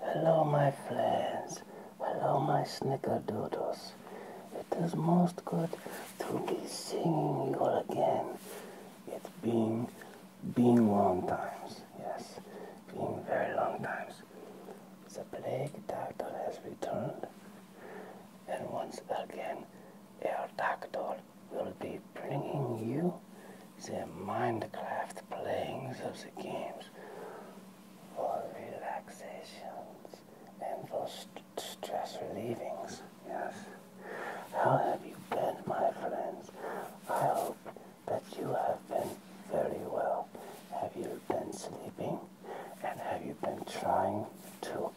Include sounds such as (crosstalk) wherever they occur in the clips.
Hello, my friends. Hello, my snickerdoodles. It is most good to be seeing you again. It's been, been long times. Yes, been very long times. The plague doctor has returned, and once again, our doctor will be bringing you the Minecraft playings of the games for relaxations and for stress relieving. Yes. How have you been, my friends? I hope that you have been very well. Have you been sleeping? And have you been trying to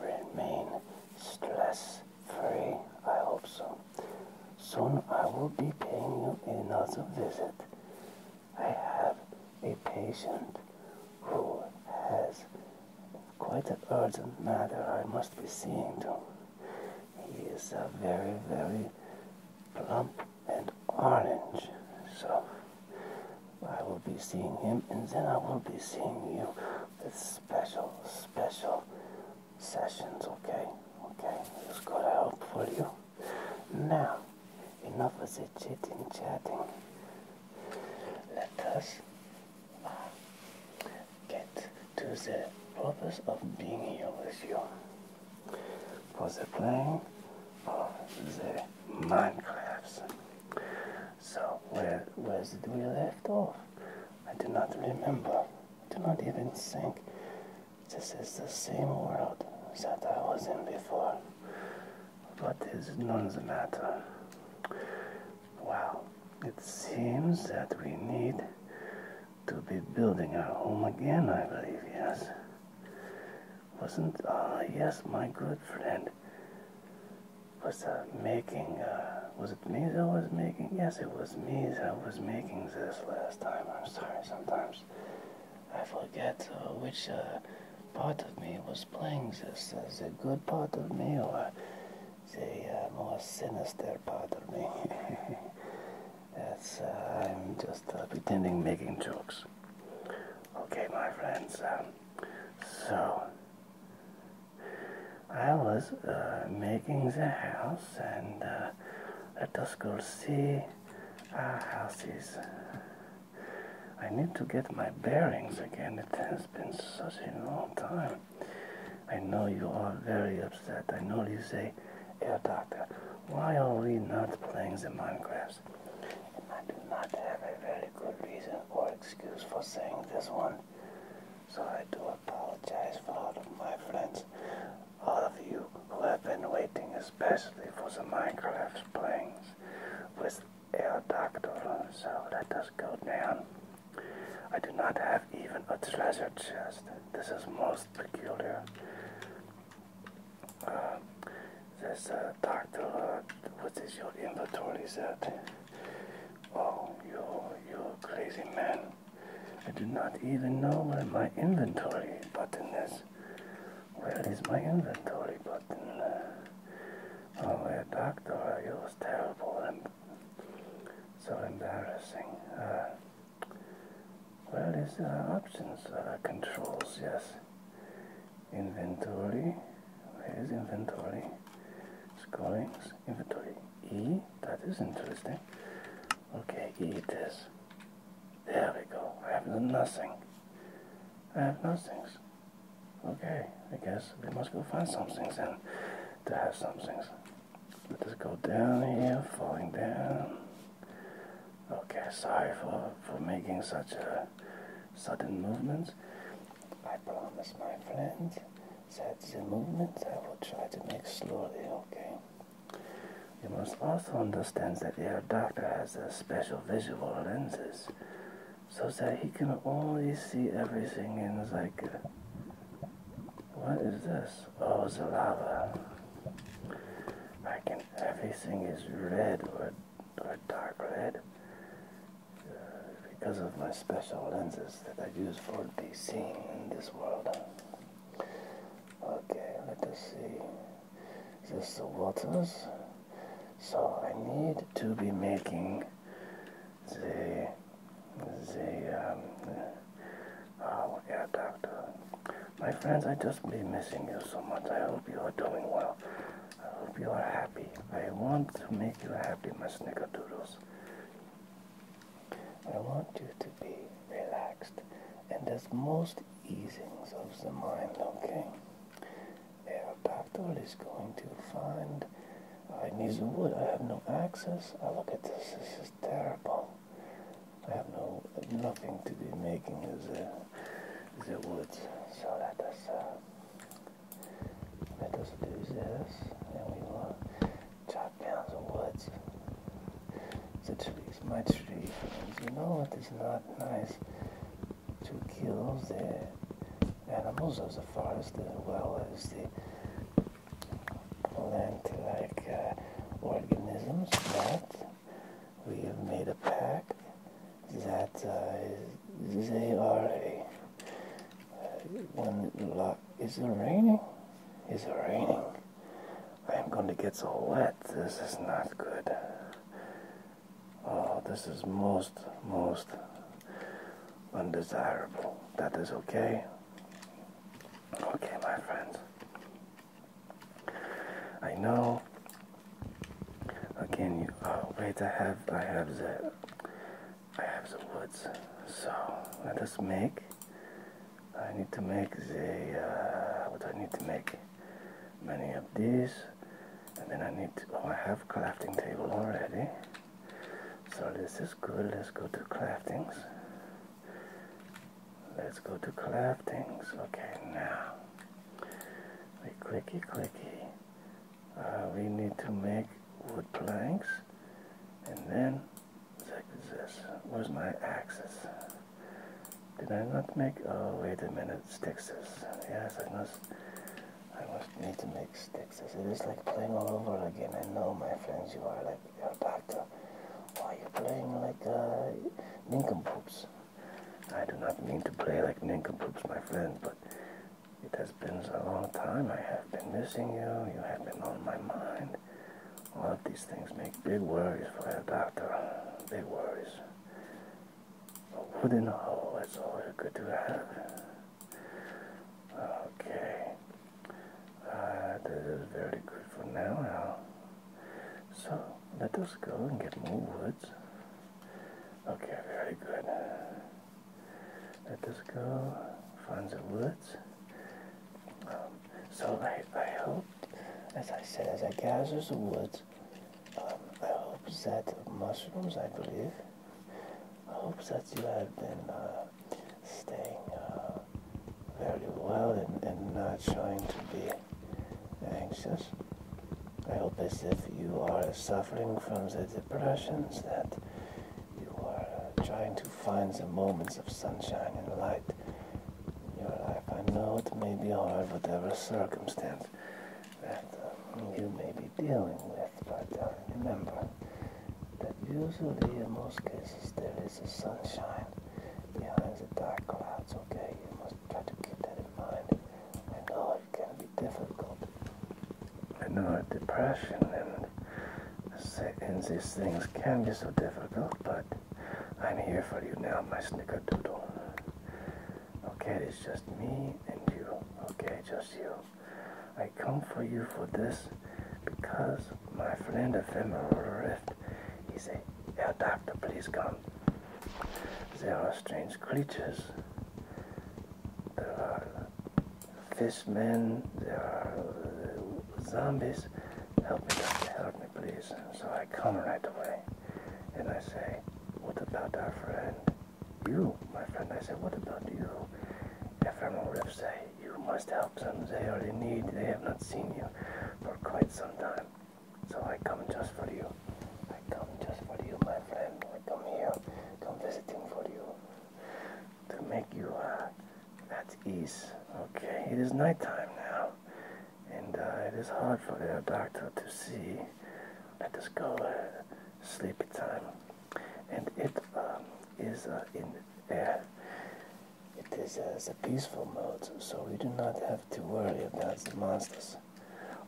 remain stress free? I hope so. Soon I will be paying you another visit. I have a patient who has quite an urgent matter I must be seeing to. He is a very, very plump and orange. So I will be seeing him and then I will be seeing you. This special, special sessions, okay? Okay, it's gonna help for you. Now, enough of the chitting chatting. Let us uh, get to the purpose of being here with you. For the playing of the Minecraft. So, where, where did we left off? I do not remember. I do not even think this is the same world that I was in before. But it's none the matter. Well, it seems that we need to be building our home again, I believe, yes. Wasn't, ah, yes, my good friend was uh, making, uh, was it me that was making? Yes, it was me that was making this last time. I'm sorry, sometimes. I forget uh, which uh, part of me was playing this, uh, the good part of me or the more sinister part of me. (laughs) That's, I'm just pretending making jokes. Okay, my friends, so I was making the house and uh, let us go see Ah, houses. I need to get my bearings again. It has been such a long time. I know you are very upset. I know you say, Air Doctor, why are we not playing the Minecraft? I do not have a very good reason or excuse for saying this one. So I do apologize for all of my friends all of you who have been waiting especially for the Minecraft playings with El Doctor, so let us go down. I do not have even a treasure chest. This is most peculiar. Uh, this doctor, what is your inventory set? Oh, you, you crazy man. I do not even know where my inventory button is. Where is my inventory button? Oh, my doctor, it was terrible and so embarrassing. Uh, where is uh, options? Uh, controls, yes. Inventory. Where is inventory? Scorings. Inventory. E. That is interesting. Okay, eat this. There we go. I have nothing. I have nothing. Okay, I guess we must go find some things then to have some things. Let us go down here, falling down. Okay, sorry for, for making such a sudden movements. I promise my friends, that the movement I will try to make slowly, okay? You must also understand that your doctor has a special visual lenses so that he can only see everything in like what is this? Oh the lava. Like everything is red or or dark red uh, because of my special lenses that I use for the seeing in this world. Okay, let us see. This is the waters. So I need to be making the the um, oh yeah doctor. My friends, I just be missing you so much. I hope you are doing well. I hope you are happy. I want to make you happy, my snickerdoodles. I want you to be relaxed, and there's most easings of the mind, okay? Aeropactor is going to find, I need the wood, I have no access, I ah, look at this, this is terrible. I have no, nothing to be making the, the wood, so let us, uh, let us do this, and we will chop down the woods. The trees, my tree friends, you know it is not nice to kill the animals of the forest as well as the plant-like organisms, but we have made a pact that they are a, uh, luck is it raining? Is it raining? I'm going to get so wet. This is not good. Oh, this is most, most undesirable. That is okay. Okay, my friends. I know. Again, you, oh, wait, I have, I have the, I have the woods. So I just make. I need to make the, uh, what do I need to make? many of these and then I need oh I have crafting table already so this is good let's go to craftings let's go to craftings okay now we clicky clicky we need to make wood planks and then like this where's my axis did I not make? Oh, wait a minute, Stixus. Yes, I must. I must need to make Stixus. It is like playing all over again. I know, my friends, you are like you're back to. Why you playing like uh, nincompoops? I do not mean to play like nincompoops, my friend, but it has been a long time. I have been missing you. You have been on my mind. A lot of these things make big worries for a doctor. Big worries. A wooden hole, is always good to have. Okay. Uh, that is very good for now. So, let us go and get more woods. Okay, very good. Let us go find some woods. Um, so I, I hope, as I said, as I through the woods, um, I hope that mushrooms, I believe, I hope that you have been uh, staying uh, very well and, and not trying to be anxious. I hope as if you are suffering from the depressions that you are trying to find the moments of sunshine and light your life. I know it may be hard, whatever circumstance that um, you may be dealing with, but uh, remember that usually in most cases there is a sunshine behind the dark clouds, okay? You must try to keep that in mind. I know it can be difficult. I know depression and, and these things can be so difficult but I'm here for you now, my snickerdoodle. Okay, it's just me and you. Okay, just you. I come for you for this because my friend Ephemeral Rift, he say, Yeah, doctor, please come. There are strange creatures. There are men. there are zombies, help me, doctor, help me, please. So I come right away, and I say, what about our friend? You, my friend, I say, what about you? Ephemeral Rift say, you must help them. They are in need. They have not seen you for quite some time. So I come just for you. I come just for you, my friend. I come here, come visiting for you, to make you uh, at ease. Okay, it is nighttime now and uh, it is hard for the doctor to see. Let us go uh, sleepy time, and it um, is uh, in there. It is as a peaceful mode, so we do not have to worry about the monsters.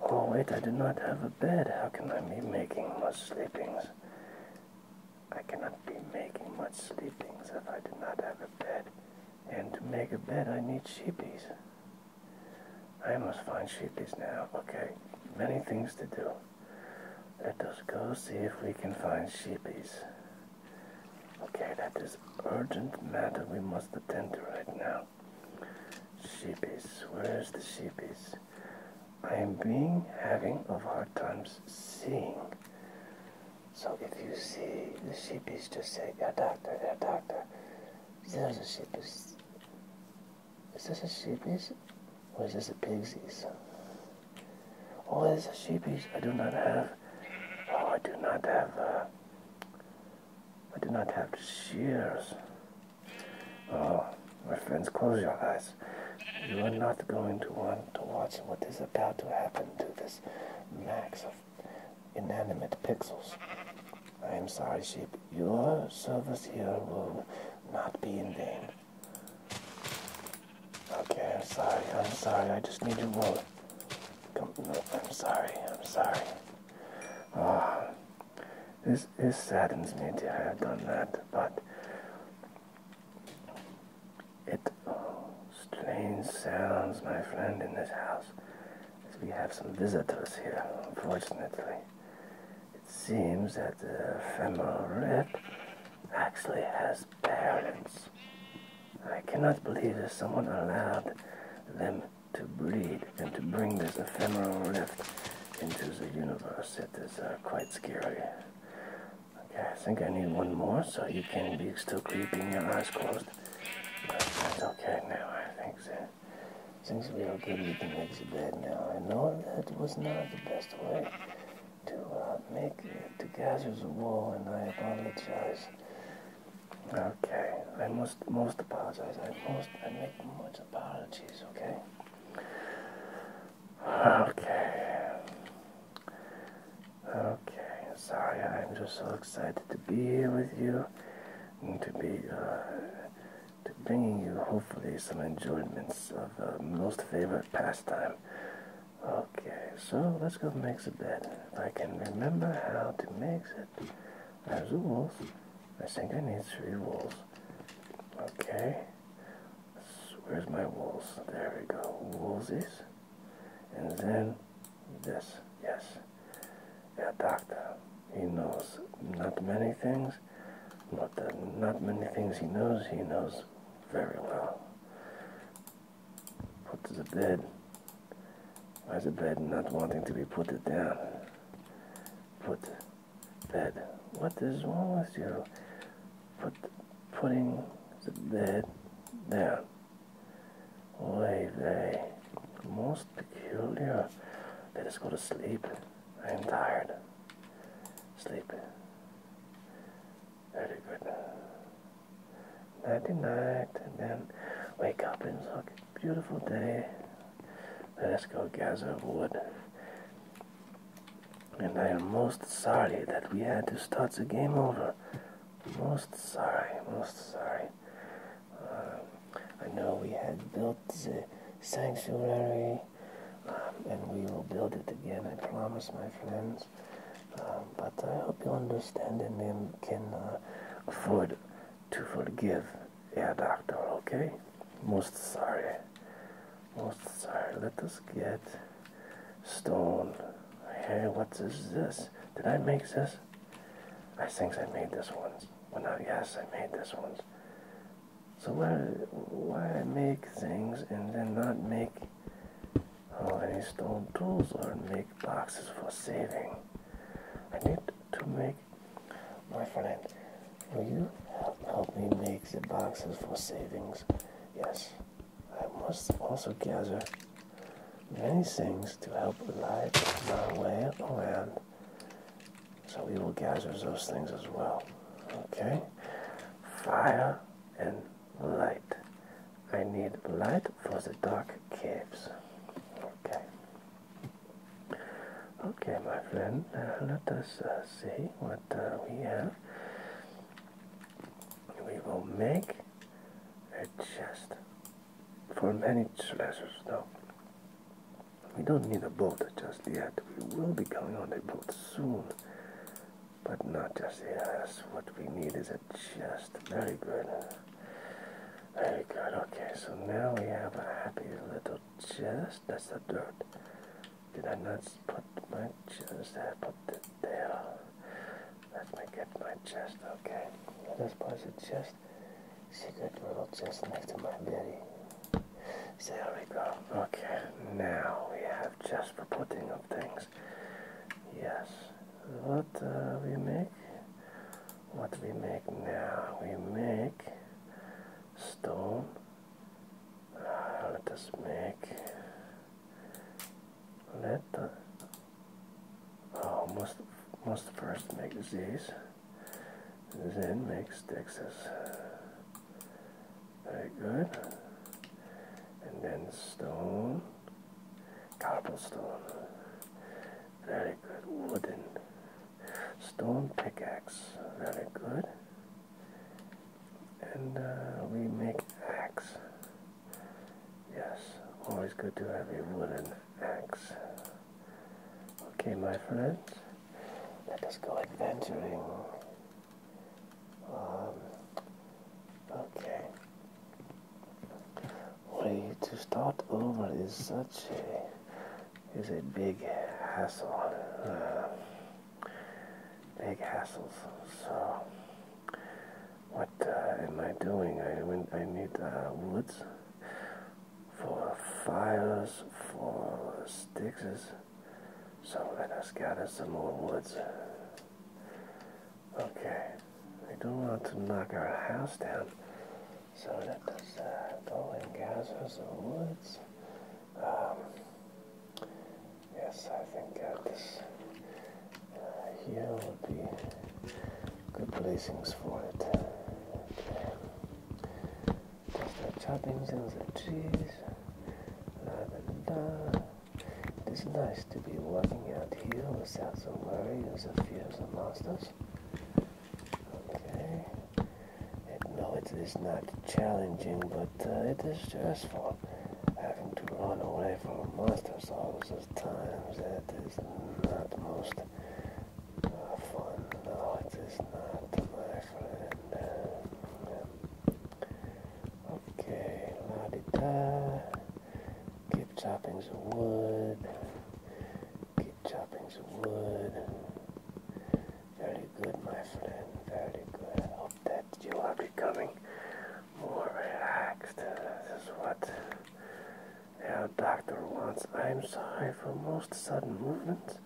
Oh wait, I do not have a bed. How can I be making much sleepings? I cannot be making much sleepings if I do not have a bed. And to make a bed, I need sheepies. I must find sheepies now. Okay, many things to do. Let us go see if we can find sheepies. Okay, that is urgent matter we must attend to right now. Sheepies, where is the sheepies? I am being having of hard times seeing. So if you see the sheepies, just say, yeah, doctor, yeah, doctor. There's a sheepies. Is this a sheepies? Or is this a pigsies? Oh, it's a sheepies. I do not have, oh, I do not have, uh, I do not have shears. Oh, my friends, close your eyes. You are not going to want to watch what is about to happen to this Max inanimate pixels. I am sorry, sheep. Your service here will not be in vain. Okay, I'm sorry, I'm sorry, I just need to roll. Come, I'm sorry, I'm sorry. Ah, this, this saddens me to have done that, but it strange sounds, my friend, in this house, we have some visitors here, unfortunately. It seems that the ephemeral rib actually has parents. I cannot believe that someone allowed them to breed and to bring this ephemeral rift into the universe. It is uh, quite scary. Okay, I think I need one more so you can be still creeping your eyes closed but that's okay now. I think that things real good. You can make the bed now. I know that was not the best way to uh, make it to gather the wool, and I apologize. Okay, I must most apologize. I most I make much apologies. Okay. Okay. Okay. Sorry, I'm just so excited to be here with you to be uh, bringing you hopefully some enjoyments of uh, most favorite pastime. Okay, so let's go make a bed. If I can remember how to make it, I have the wolf. I think I need three wolves. Okay. Where's my wolves? There we go. Wolvesies. And then Yes, yes. Yeah, doctor. He knows not many things, but not many things he knows, he knows very well. Put to the bed. Why the bed not wanting to be put it down? Put bed. What is wrong with you? Put putting the bed down. Oy vey. Most peculiar. Let us go to sleep. I am tired. Sleep. Very good. Nighty night, and then wake up and look. Beautiful day. Let us go gather wood. And I am most sorry that we had to start the game over. Most sorry, most sorry. I know we had built the sanctuary, um, and we will build it again, I promise, my friends. Um, but I hope you understand and then can uh, afford to forgive yeah, doctor, okay? Most sorry. Most sorry. Let us get stone. Hey, what is this? Did I make this? I think I made this one. Well, not yes, I made this one. So why why make things and then not make? Oh, any stone tools or make boxes for saving. I need to make my friend. Will you help me make the boxes for savings? Yes. I must also gather many things to help light my way around. So we will gather those things as well. Okay? Fire and light. I need light for the dark caves. Okay. Okay, my friend, uh, let us uh, see what uh, we have. We will make a chest for many treasures though, We don't need a boat just yet. We will be going on a boat soon. But not just yet. What we need is a chest. Very good. Very good. Okay, so now we have a happy little chest. That's a dirt. Did I not put my chest there? Put it there. Let me get my chest. Okay. Let us place the chest she could roll just next to my belly. There we go. Okay, now we have just the putting of things. Yes. What uh, we make? What we make now? We make stone. Uh, let us make. Let Oh, must must first make disease, then make Texas. Very good. And then stone, cobblestone. Very good. Wooden, stone pickaxe. Very good. And uh, we make axe. Yes, always good to have a wooden X. Okay, my friends, let us go adventuring. Um, okay. Way to start over is such a is a big hassle. Uh, big hassles. So, what uh, am I doing? I I need uh, woods for fires, for sticks. So let us gather some more woods. Okay, we don't want to knock our house down. So let us uh, go and gather some woods. Um, yes, I think this uh, here would be Good placings for it. Okay. Just the choppings and the trees. La, da, da, It is nice to be walking out here without the worry and the fears of the monsters. Okay. And no, it is not challenging, but uh, it is stressful having to run away from monsters all the times. That is not most fun night it's not, my friend. Okay, la Keep chopping the wood. Keep chopping the wood. Very good, my friend. Very good. hope that you are becoming more relaxed. This is what our doctor wants. I'm sorry for most sudden movements.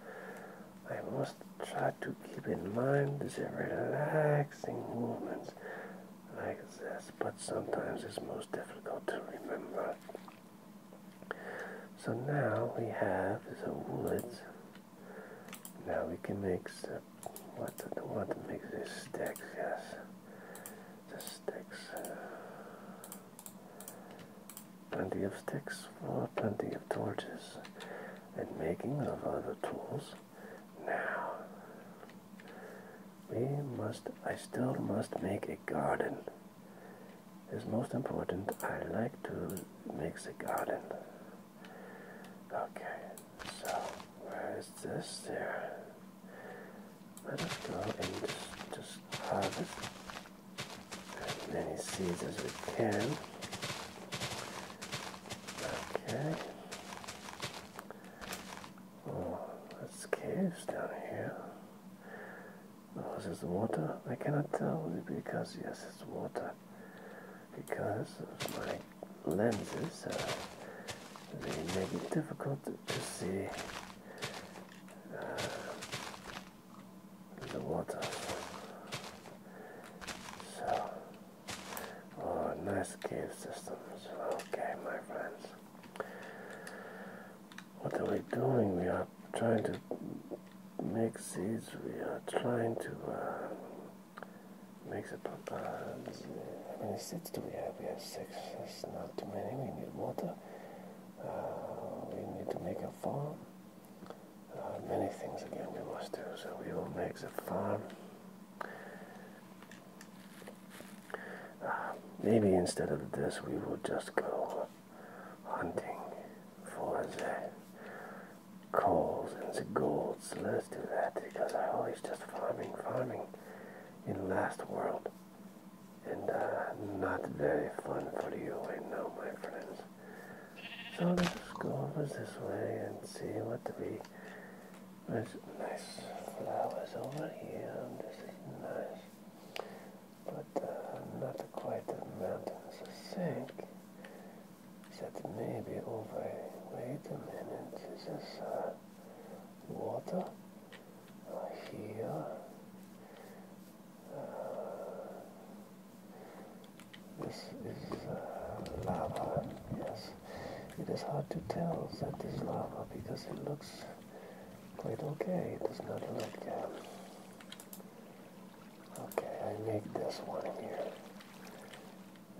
I must try to keep in mind the relaxing movements like this, but sometimes it's most difficult to remember. So now we have the woods. Now we can make the, what the want to make these sticks, yes. The sticks. Uh, Plenty of sticks for plenty of torches and making of other tools. Now, we must, I still must make a garden. It's most important, I like to make a garden. Okay, so where is this there? Let us go and just, just harvest as many seeds as we can. Okay. Oh, that's caves down here. Oh, is water? I cannot tell because yes, it's water. Because of my lenses, uh, they make it difficult to see the water. So, oh, nice cave systems. Okay, my friends. What are we doing? We are trying to make seeds. We are trying to uh, make the papas. How many seeds do we have? We have six. It's not too many. We need water. Uh, we need to make a farm. Uh, many things again we must do, so we will make the farm. Uh, maybe instead of this, we will just go hunting for the coals and the golds. Let's do that because I always just farming, farming in last world and uh, not very fun for you, I know, my friends. So let's go over this way and see what we. There's nice flowers over here. This is nice, but uh, not quite the mountains. I think that maybe over. Wait a minute. Is this uh, water? here. Uh, this is uh, lava, yes. It is hard to tell that is lava because it looks quite okay. It does not look... Uh, okay, I make this one here.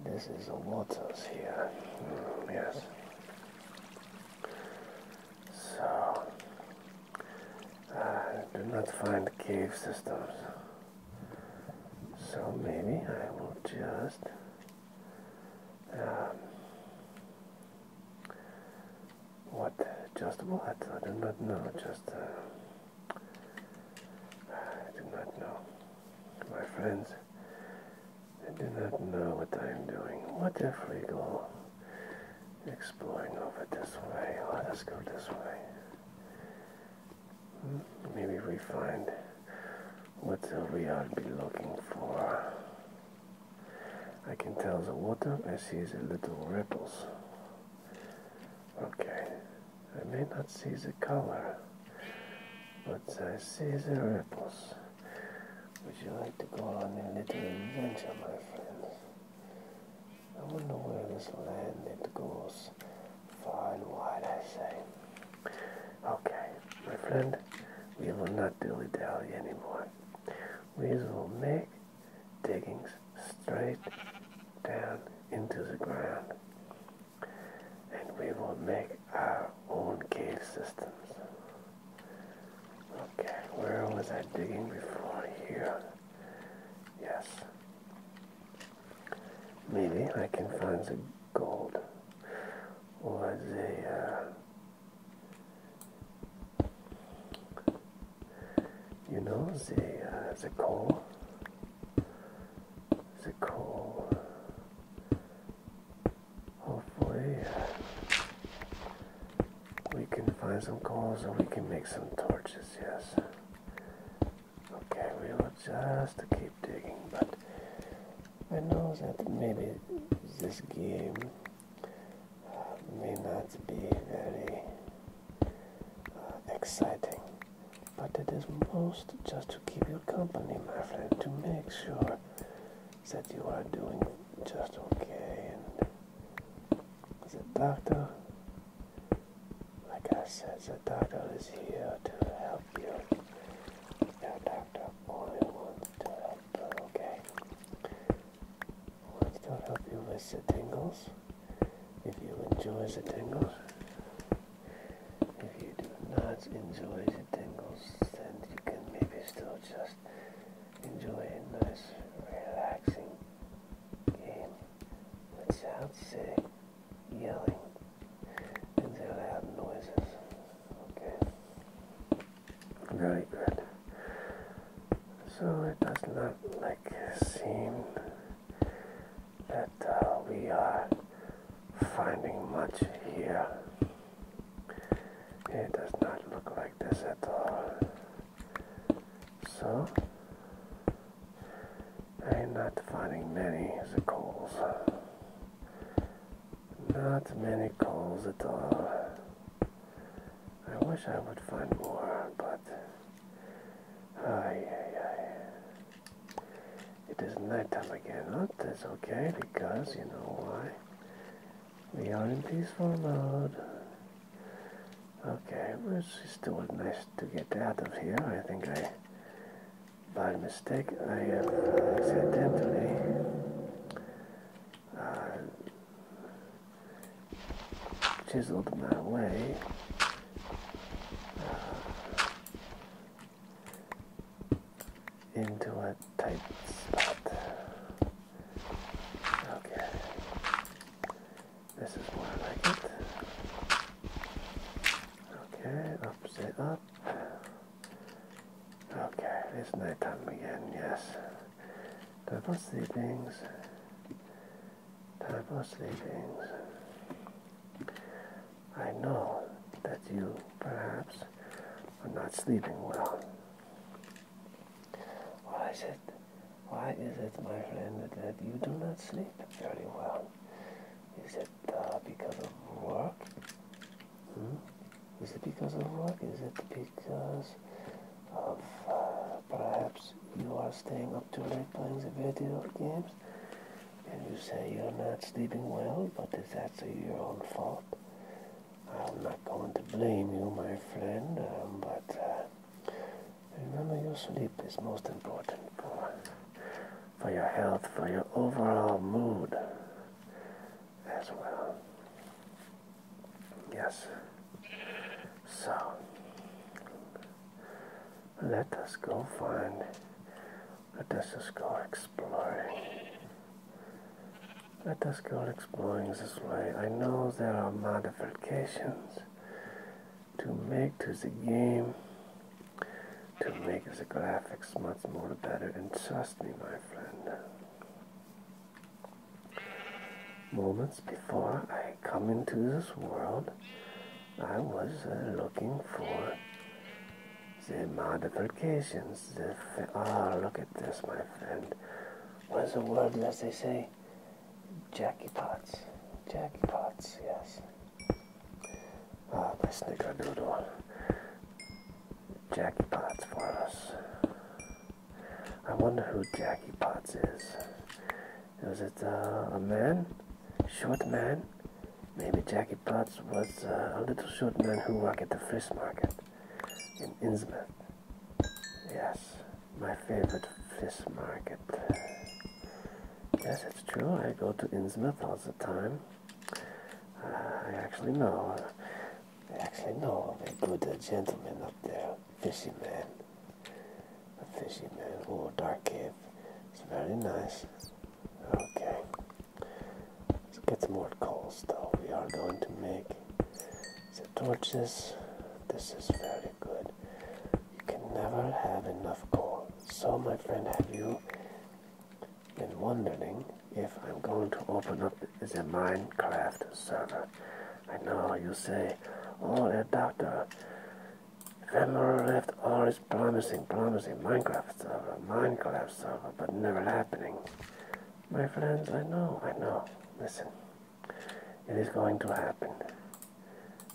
This is the waters here. Hmm, yes. So, I uh, do not find cave systems. So maybe I will just um, what just what I do not know just uh, I do not know my friends I do not know what I am doing what a freak exploring over this way. Oh, Let us go this way. Maybe we find what we ought be looking for. I can tell the water I see the little ripples. Okay, I may not see the color, but I see the ripples. Would you like to go on a little adventure, my friends? I wonder where this land it goes. Far and wide, I say. Okay, my friend, we will not dilly-dally anymore. We will make diggings straight down into the ground. And we will make our own cave systems. Okay, where was I digging before here? Yes. Maybe I can find the gold or the, uh, you know, the, uh, the coal, the coal. Hopefully, uh, we can find some coals and we can make some torches, yes. Okay, we will just keep digging, but I know that maybe this game uh, may not be very uh, exciting, but it is most just to keep you company, my friend, to make sure that you are doing just okay the doctor, like I said, the doctor is here to help you. Your doctor only wants to help, her, okay? Wants to help you with the tingles. If you enjoy the tingles, if you do not enjoy the tingles, then you can maybe still just enjoy a nice, relaxing Okay. game without say yelling and their loud noises. Okay. Very good. So it does not like seem that uh, we are finding much here. It does not look like this at all. So, I'm not finding many coals. Not many coals at all. I wish I would find more, but ay, ay, it is nighttime again. Look, oh, that's okay because you know why. We are in peaceful mode. Okay, it's still nice to get out of here. I think I, by mistake, I uh, accidentally uh, chiseled my way. Uh, into a tight spot. Okay. This is what I like it. Okay, up, upside up. Okay, it's nighttime again, yes. Time for sleepings. Time for sleepings. I know that you perhaps are not sleeping well. Why is it, why is it, my friend, that you do not sleep very well? Is it uh, because of work? Hmm? Is it because of work? Is it because of uh, perhaps you are staying up too late playing the video games? And you say you're not sleeping well, but is that your own fault? I'm not going to blame you, my friend, um, but uh, Remember, your sleep is most important for, for your health, for your overall mood as well. Yes. So, let us go find, let us just go exploring. Let us go exploring this way. I know there are modifications to make to the game to make the graphics much more better and trust me my friend moments before I come into this world I was uh, looking for the modifications the oh look at this my friend what's the word as they say Jackie. Jackie Potts. Jackie Potts, yes. Uh, my snickerdoodle. Jackie Potts for us. I wonder who Jackie Potts is. Was it uh, a man? Short man? Maybe Jackie Potts was uh, a little short man who worked at the fish market in Innsbruck. Yes, my favorite fish market. Yes, it's true. I go to Innsmouth all the time. Uh, I actually know. I actually know a good gentleman up there, fisherman. A fisherman, man. Oh, dark cave. It's very nice. Okay. Let's get some more coals, though. We are going to make the torches. This is very good. You can never have enough gold. So, my friend, have you been wondering if I'm going to open up the Minecraft server? I know you say, oh, yeah, doctor, Ephemeral left always promising, promising Minecraft server, Minecraft server, but never happening. My friends, I know, I know. Listen, it is going to happen.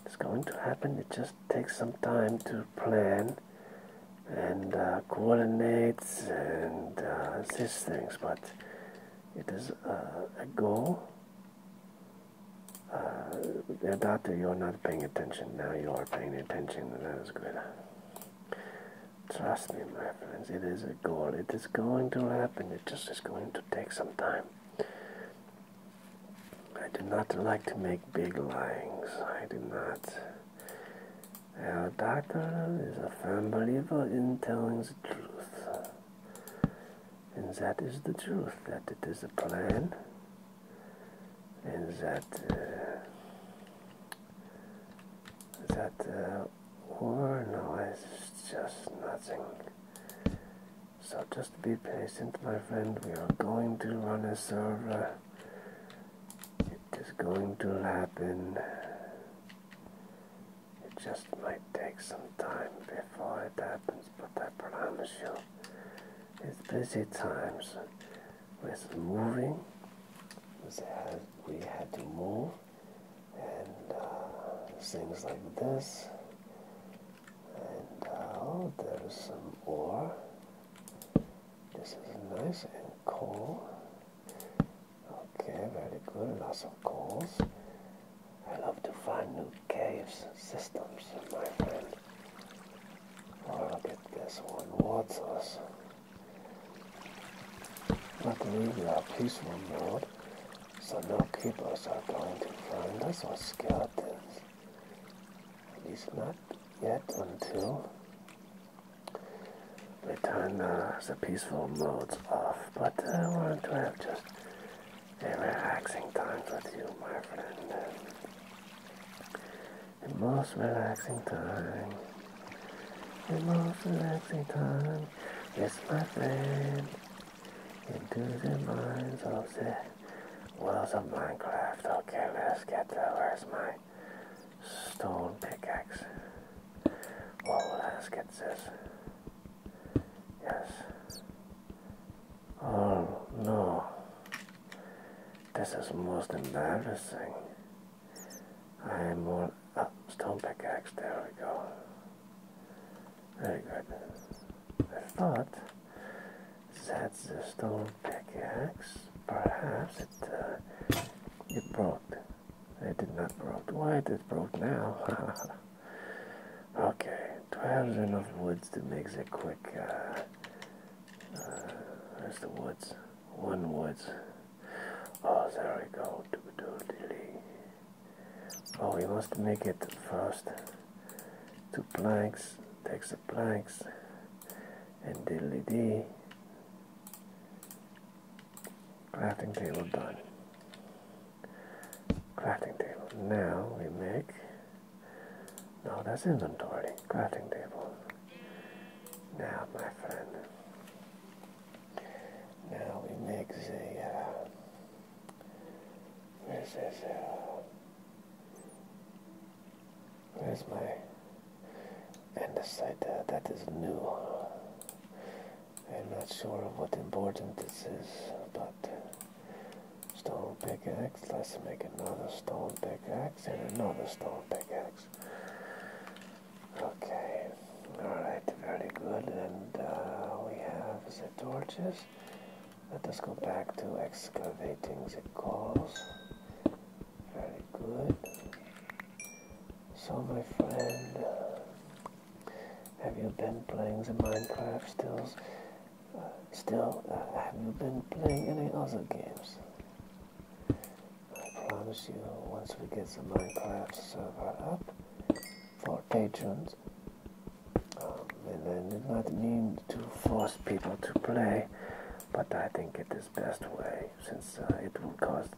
It's going to happen. It just takes some time to plan and uh, coordinate and uh, these things, but it is uh, a goal. Uh, doctor, you're not paying attention. Now you are paying attention, that is good. Trust me, my friends, it is a goal. It is going to happen. It just is going to take some time. I do not like to make big lines. I do not. Our doctor is a firm believer in telling the truth. And that is the truth, that it is a plan. And that, uh, that, uh, or no, just nothing. So just be patient, my friend. We are going to run a server. It is going to happen. It just might take some time before it happens, but I promise you, it's busy times We're moving. We had to move and uh, things like this. And uh, oh, there's some ore. This is nice and cool. Okay, very good. Lots of coals. I love to find new caves systems, my friend. Oh, look at this one. What's I believe we are peaceful mode. So no keepers are going to find us or skeletons. At least not yet until we turn the peaceful modes off. But I want to have just a relaxing time with you, my friend. The most relaxing time. The most relaxing time. Yes, my friend into the minds of the worlds of Minecraft. Okay, let's get there. Where's my stone pickaxe? Well, let's get this. Yes. Oh no. This is most embarrassing. I am on. Ah, stone pickaxe, there we go. Very good. I thought that's the stone pickaxe. Perhaps it uh, it broke. It did not broke. Why it broke now? (laughs) okay, do I have enough woods to make a quick? Uh, uh, where's the woods? One woods. Oh, there we go. Do do dilly. Oh, we must make it fast. Two planks, takes the planks, and diddly dee. Crafting table done. Crafting table. Now we make. No, that's inventory. Crafting table. Now, my friend. Now we make the. Uh, this where's my and the uh, that is new. I'm not sure what important this is, but stone pickaxe. Let's make another stone pickaxe and another stone pickaxe. Okay, all right, very good. And uh, we have the torches. Let us go back to excavating the cores. Very good. So my friend, have you been playing the Minecraft stills? still, uh, uh, have you been playing any other games? I promise you, once we get the Minecraft server up for patrons, and I did not mean to force people to play, but I think it is best way since uh, it will cost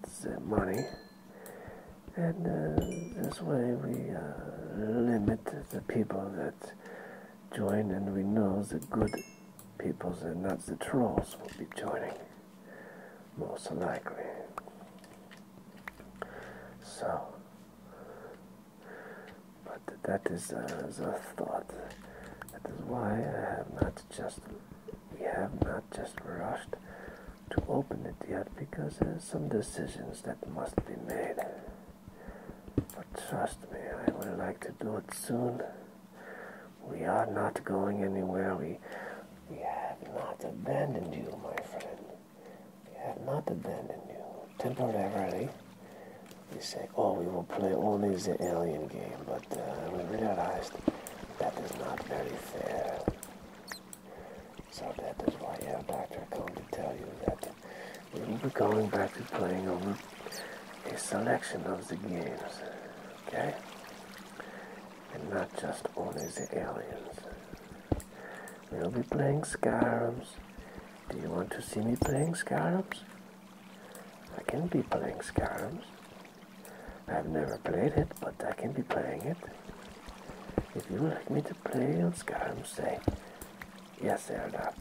money. And uh, this way we uh, limit the people that join, and we know the good peoples and not the trolls will be joining, most likely. So, but that uh, is a thought. That is why I have not just we have not just rushed to open it yet because there are some decisions that must be made. But trust me, I would like to do it soon. We are not going anywhere. We we have not abandoned you, my friend we have not abandoned you temporarily. We say, oh, we will play only the alien game, but uh, we realized that is not very fair. So that is why your doctor come to tell you that we will be going back to playing over a selection of the games, okay? And not just only the aliens. We'll be playing Scarabs. Do you want to see me playing Scarabs? I can be playing Scarabs. I've never played it, but I can be playing it. If you would like me to play on Skyrim, say yes, Aeronaut.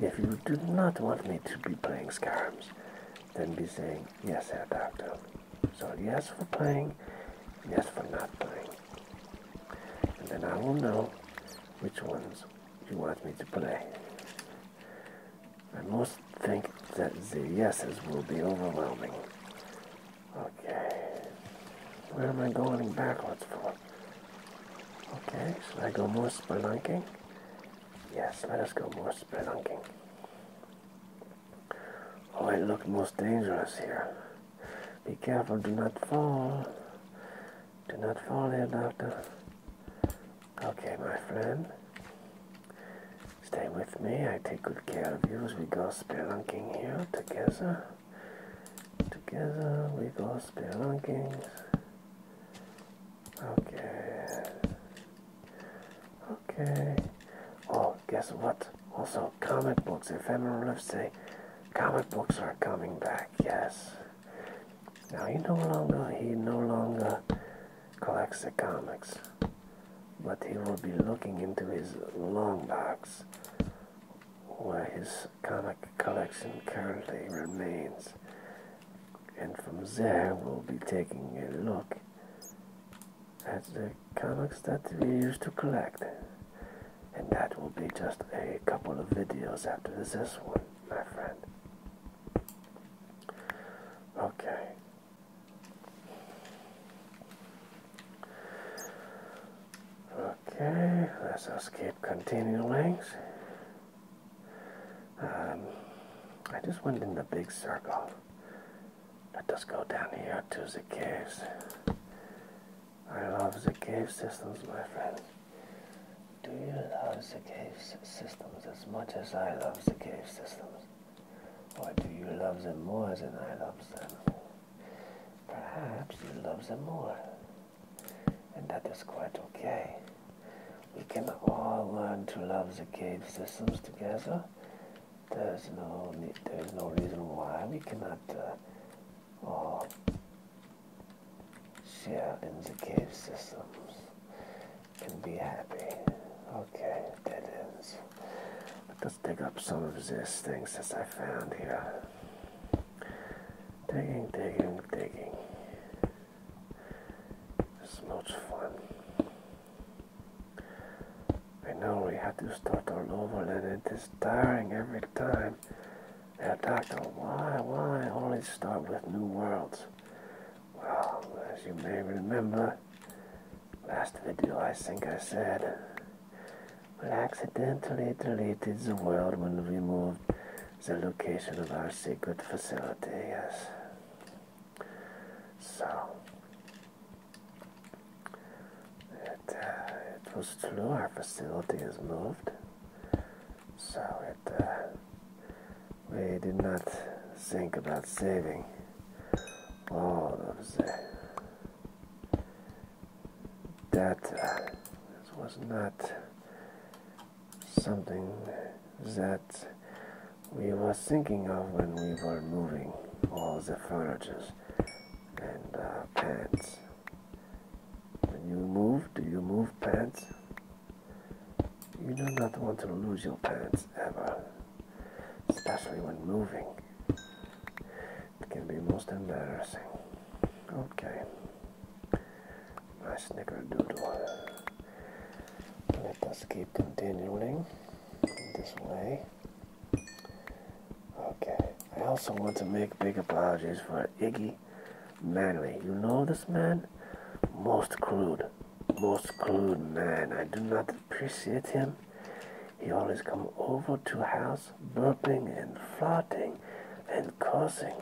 If you do not want me to be playing scarabs, then be saying yes, Aeronaut. So yes for playing, yes for not playing and then I will know which ones you want me to play. I most think that the yeses will be overwhelming. Okay. Where am I going backwards for? Okay, should I go more spelunking? Yes, let us go more spelunking. Oh, it looks most dangerous here. Be careful, do not fall. Do not fall here, doctor. Okay, my friend. Stay with me. I take good care of you as we go spelunking here together. Together we go spelunking. Okay. Okay. Oh, guess what? Also, comic books, If ephemeral lives say Comic books are coming back, yes. Now he no longer he no longer collects the comics, but he will be looking into his long box where his comic collection currently remains. And from there we'll be taking a look at the comics that we used to collect. And that will be just a couple of videos after this one, my friend. Okay. Okay, let's just keep continuing. Um, I just went in the big circle. Let us go down here to the caves. I love the cave systems, my friend. Do you love the cave systems as much as I love the cave systems? Or do you love them more than I love them? Perhaps you love them more. And that is quite okay. We can all learn to love the cave systems together. There's no, there's no reason why we cannot uh, or share in the cave systems and be happy. Okay, dead Let's dig up some of these things that I found here. Digging, digging, digging. It's much fun. I know we had to start all over and it is tiring every time time. Now, Doctor, why, why always start with New Worlds? Well, as you may remember, last video I think I said, we accidentally deleted the world when we moved the location of our secret facility, yes. So, it, uh, it was true our facility is moved so it uh, we did not think about saving all of the data. Uh, this was not something that we were thinking of when we were moving all the furniture and pants uh, when you move, do you move pants? You do not want to lose your pants ever, especially when moving. It can be most embarrassing. Okay. Nice nicker snickerdoodle. Let us keep continuing this way. Okay. I also want to make big apologies for Iggy Manly, you know this man? Most crude, most crude man. I do not appreciate him. He always come over to house burping and flirting and cursing.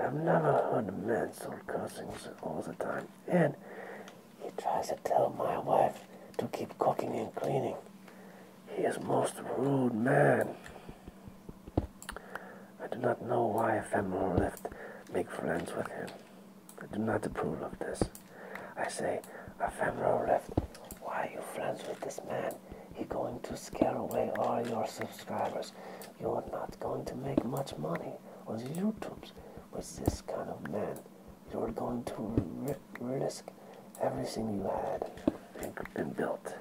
I've never heard a man so cursing all the time. And he tries to tell my wife to keep cooking and cleaning. He is most rude man. I do not know why Ephemeral left make friends with him. I do not approve of this. I say, Ephemeral left, why are you friends with this man? He going to scare away all your subscribers. You are not going to make much money on YouTube with this kind of man. You are going to risk everything you had and, and built.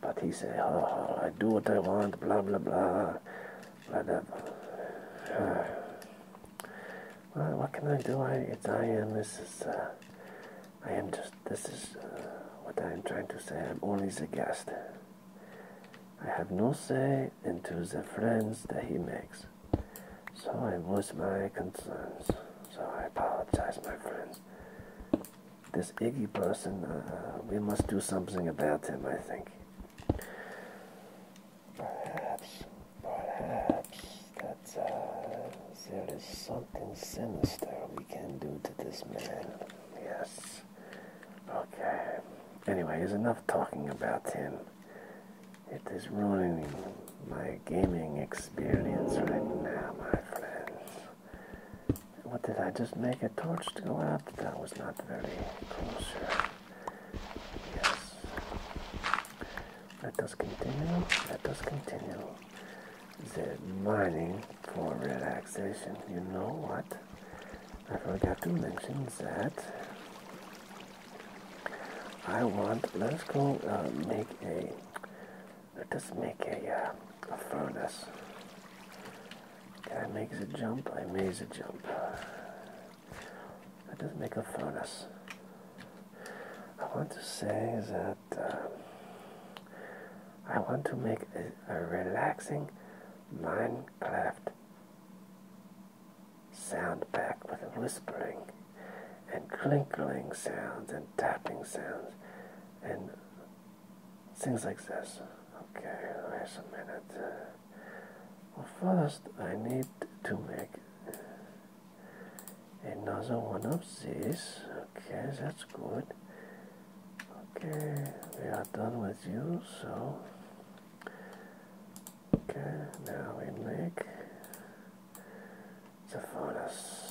But he said, oh, I do what I want, blah, blah, blah. blah, blah. well, what can I do? I, it's, I am, this is, uh, I am just, this is uh, what I am trying to say. I'm only the guest. I have no say into the friends that he makes. So I voice my concerns. So I apologize, my friends this Iggy person, uh, we must do something about him, I think. Perhaps, perhaps that uh, there is something sinister we can do to this man. Yes. Okay. Anyway, is enough talking about him. It is ruining my gaming experience right now, my friends. What did I just make a torch to go out? That was not very close Yes. Let us continue. Let us continue the mining for relaxation. You know what? I forgot to mention that I want, let's go uh, make a doesn't make a, uh, furnace. Guy makes a jump, I makes a jump. doesn't make a furnace. I want to say that uh, I want to make a, a relaxing Minecraft sound pack with whispering and crinkling sounds and tapping sounds and things like this. Okay, wait a minute. Uh, well, first I need to make another one of these. Okay, that's good. Okay, we are done with you, so. Okay, now we make the furnace.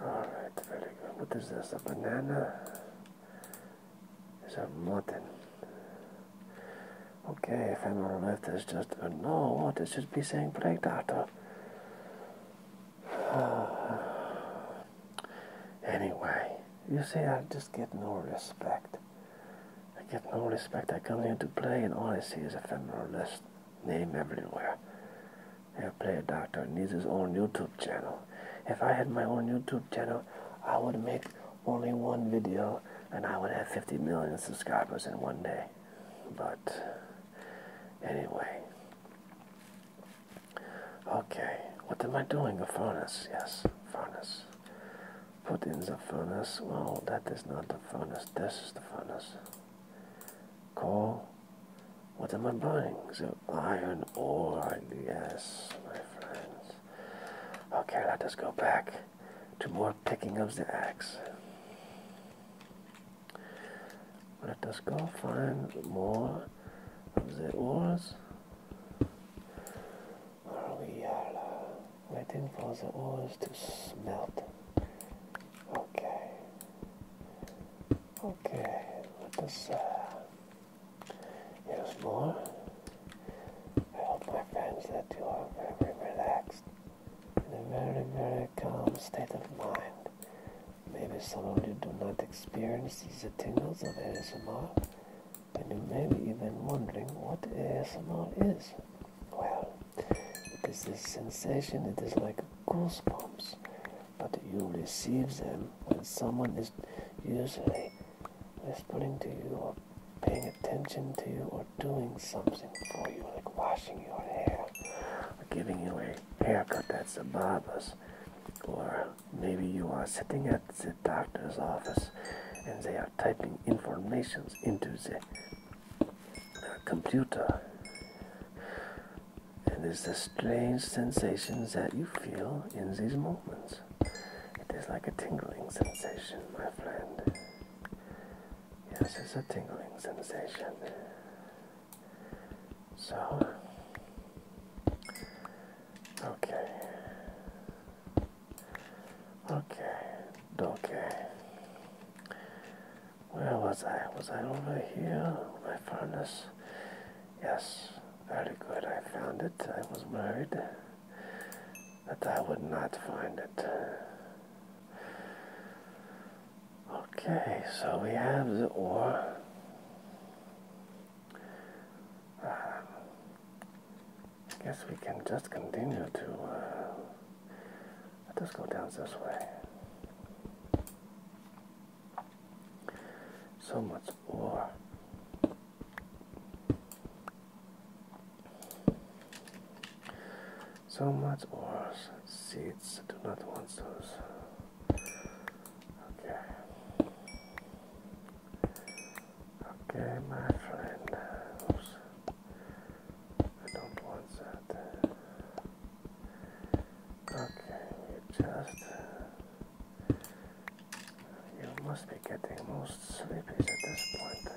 Alright, very good. What is this? A banana? It's a mutton. Okay, if I'm left, uh, it's just no. What? It should be saying play data. (sighs) anyway, you see, I just get no respect. I get no respect. I come here to play, and all I see is ephemeral list name everywhere. Airplay Doctor needs his own YouTube channel. If I had my own YouTube channel, I would make only one video and I would have 50 million subscribers in one day. But anyway. Okay, what am I doing? A furnace, yes, furnace. Put in the furnace. Well, that is not the furnace. This is the furnace. Call. What am I burning? The iron ore, yes, my friends. Okay, let us go back to more picking of the axe. Let us go find more of the ores. Or we are waiting for the ores to smelt. Okay. Okay, let us, uh, more. I hope my friends that you are very relaxed, in a very, very calm state of mind. Maybe some of you do not experience these tingles of ASMR, and you may be even wondering what ASMR is. Well, it is this sensation, it is like goosebumps but you receive them when someone is usually whispering to you or paying attention to you or doing something for you, like washing your hair or giving you a haircut at the barber's. Or maybe you are sitting at the doctor's office and they are typing information into the uh, computer and it's the strange sensations that you feel in these moments. It is like a tingling sensation, my friend. Yes, it's a tingling sensation. So, okay, okay, okay. Where was I? Was I over here? My furnace. Yes, very good. I found it. I was worried that I would not find it. Okay, so we have the ore. Uh, I guess we can just continue to. Uh, let us go down this way. So much more. So much worse. Seeds do not want those. Okay. Okay, my friend. knows. I don't want that. Okay, you just. Uh, you must be getting most sleepy at this point.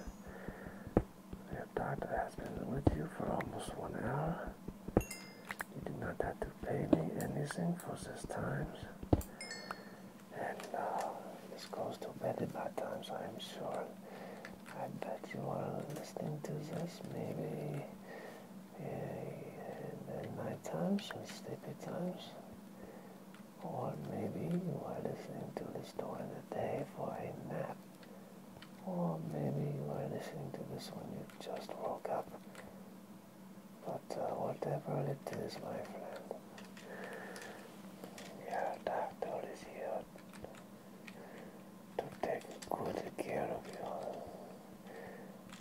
Your doctor has been with you for almost one hour. You did not have to pay me anything for this time. And uh, this goes to bed at times, so I'm sure. I bet you are listening to this maybe and at night times some sleepy times. Or maybe you are listening to the story of the day for a nap. Or maybe you are listening to this when you just woke up. But uh, whatever it is, my friend, your doctor is here to take good care of you.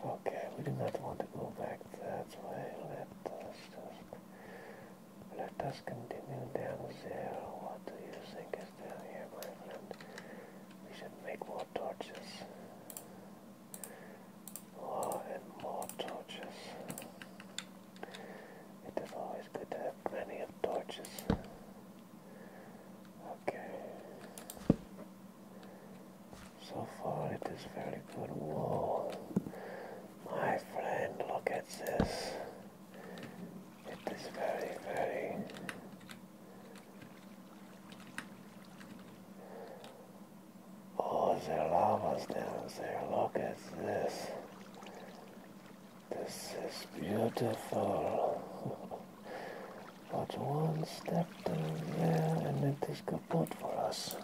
Okay, we do not want to go back that way. Let us just let us continue down there. What do you think is down here, my friend? We should make more torches. More and more torches. It is always good to have plenty of torches. Okay. So far it is very good wool. My friend, look at this. It is very, very Oh, there are llamas down there. Look at this. This is beautiful. (laughs) But one step down there and it is this kaput for us.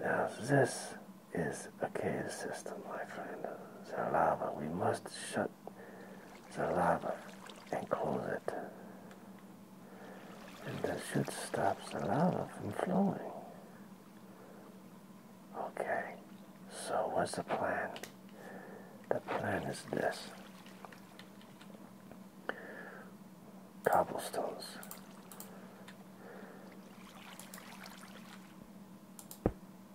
Now this is a cave system, my friend. The we must shut the lava and close it. And that should stop the lava from flowing. Okay, so what's the plan? The plan is this cobblestones.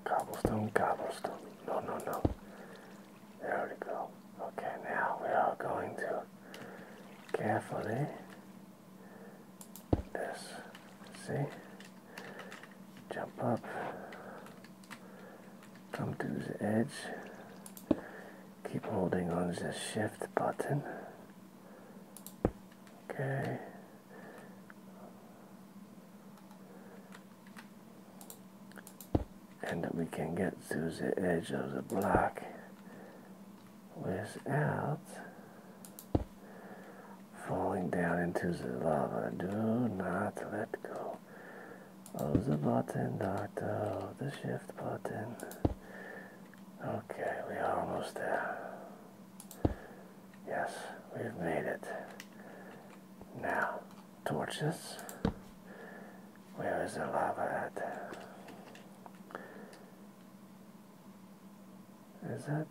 Cobblestone, cobblestone. No, no, no. There we go. Okay, now we are going to carefully this. See? Jump up come to the edge keep holding on to the shift button okay and we can get to the edge of the block without falling down into the lava. Do not let go. Oh, the button, doctor. Oh, the shift button. Okay, we are almost there. Yes, we've made it. Now, torches. Where is the lava at? Is that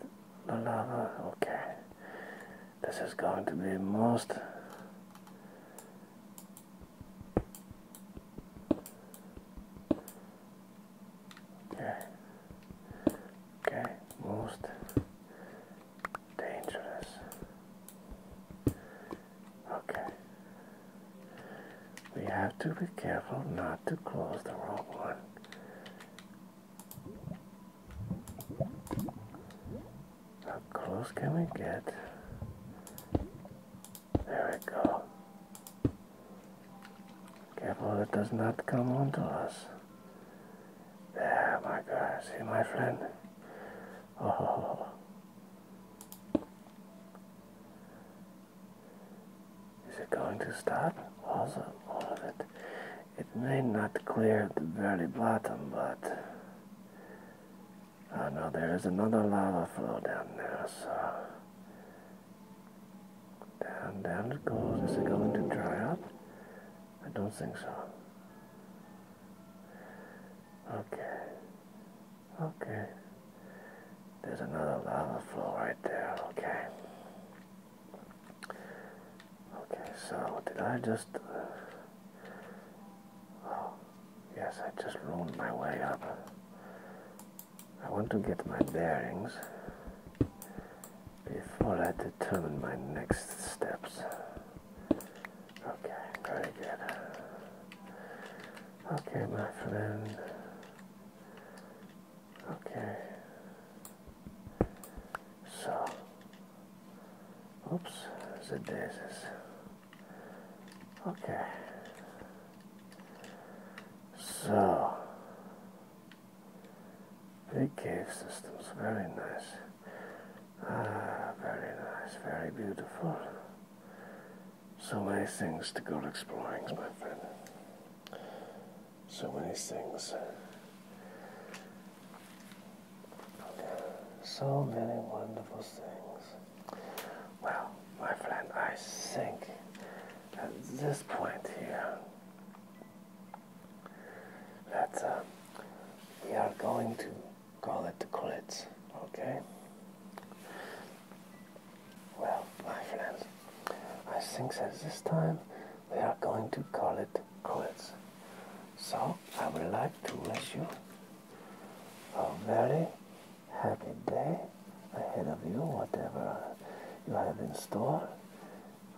the lava? Okay. This is going to be most Okay. Okay, most dangerous. Okay. We have to be careful not to close the wrong one. How close can we get? There we go. Careful it does not come onto us. There, my God. See, my friend? Oh. Is it going to stop? Also, all of it. It may not clear the very bottom, but I oh, know there is another lava flow down there, so down, down it goes. Is it going to dry up? I don't think so. Okay. Okay. There's another lava flow right there, okay. Okay, so did I just... Uh, oh, Yes, I just rolled my way up. I want to get my bearings before I determine my next steps. Okay, very good. Okay, my friend. Okay. So, oops, the daisies. Okay. So, big cave systems, very nice. Ah, very nice, very beautiful. So many things to go exploring, my friend. So many things. So many wonderful things. Well, my friend, I think at this point here that uh, we are going to call it quits, okay? Well, my friends, I think that this time we are going to call it quits. So, I would like to wish you a very happy day ahead of you, whatever you have in store.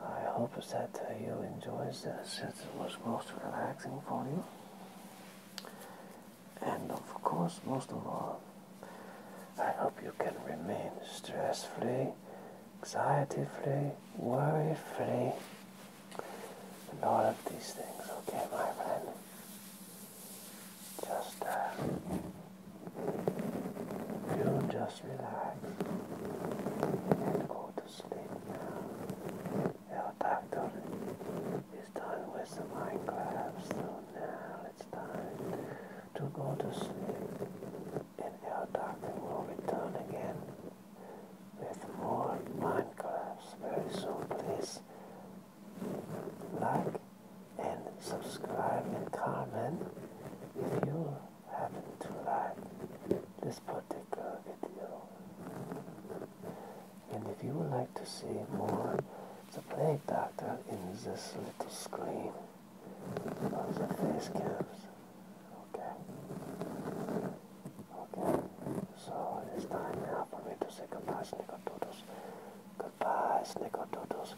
I hope that you enjoyed this. It was most relaxing for you. And of course, most of all, I hope you can remain stress-free, anxiety-free, worry-free, all of these things, okay, my friend? Just, uh, you just relax and go to sleep now. Your doctor is done with the Minecraft, so now it's time to go to sleep. And your doctor will return again with more Minecrafts very soon, please like and subscribe and comment if you happen to like this particular video. And if you would like to see more the Plague Doctor in this little screen on the face cams, okay? Okay, so it is time now for me to say goodbye, Snickerdoodles. Goodbye, Snickerdoodles.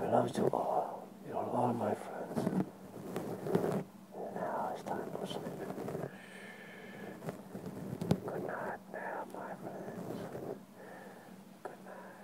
I love you all. You're all my friends. And now it's time for sleep. Good night now, my friends. Good night.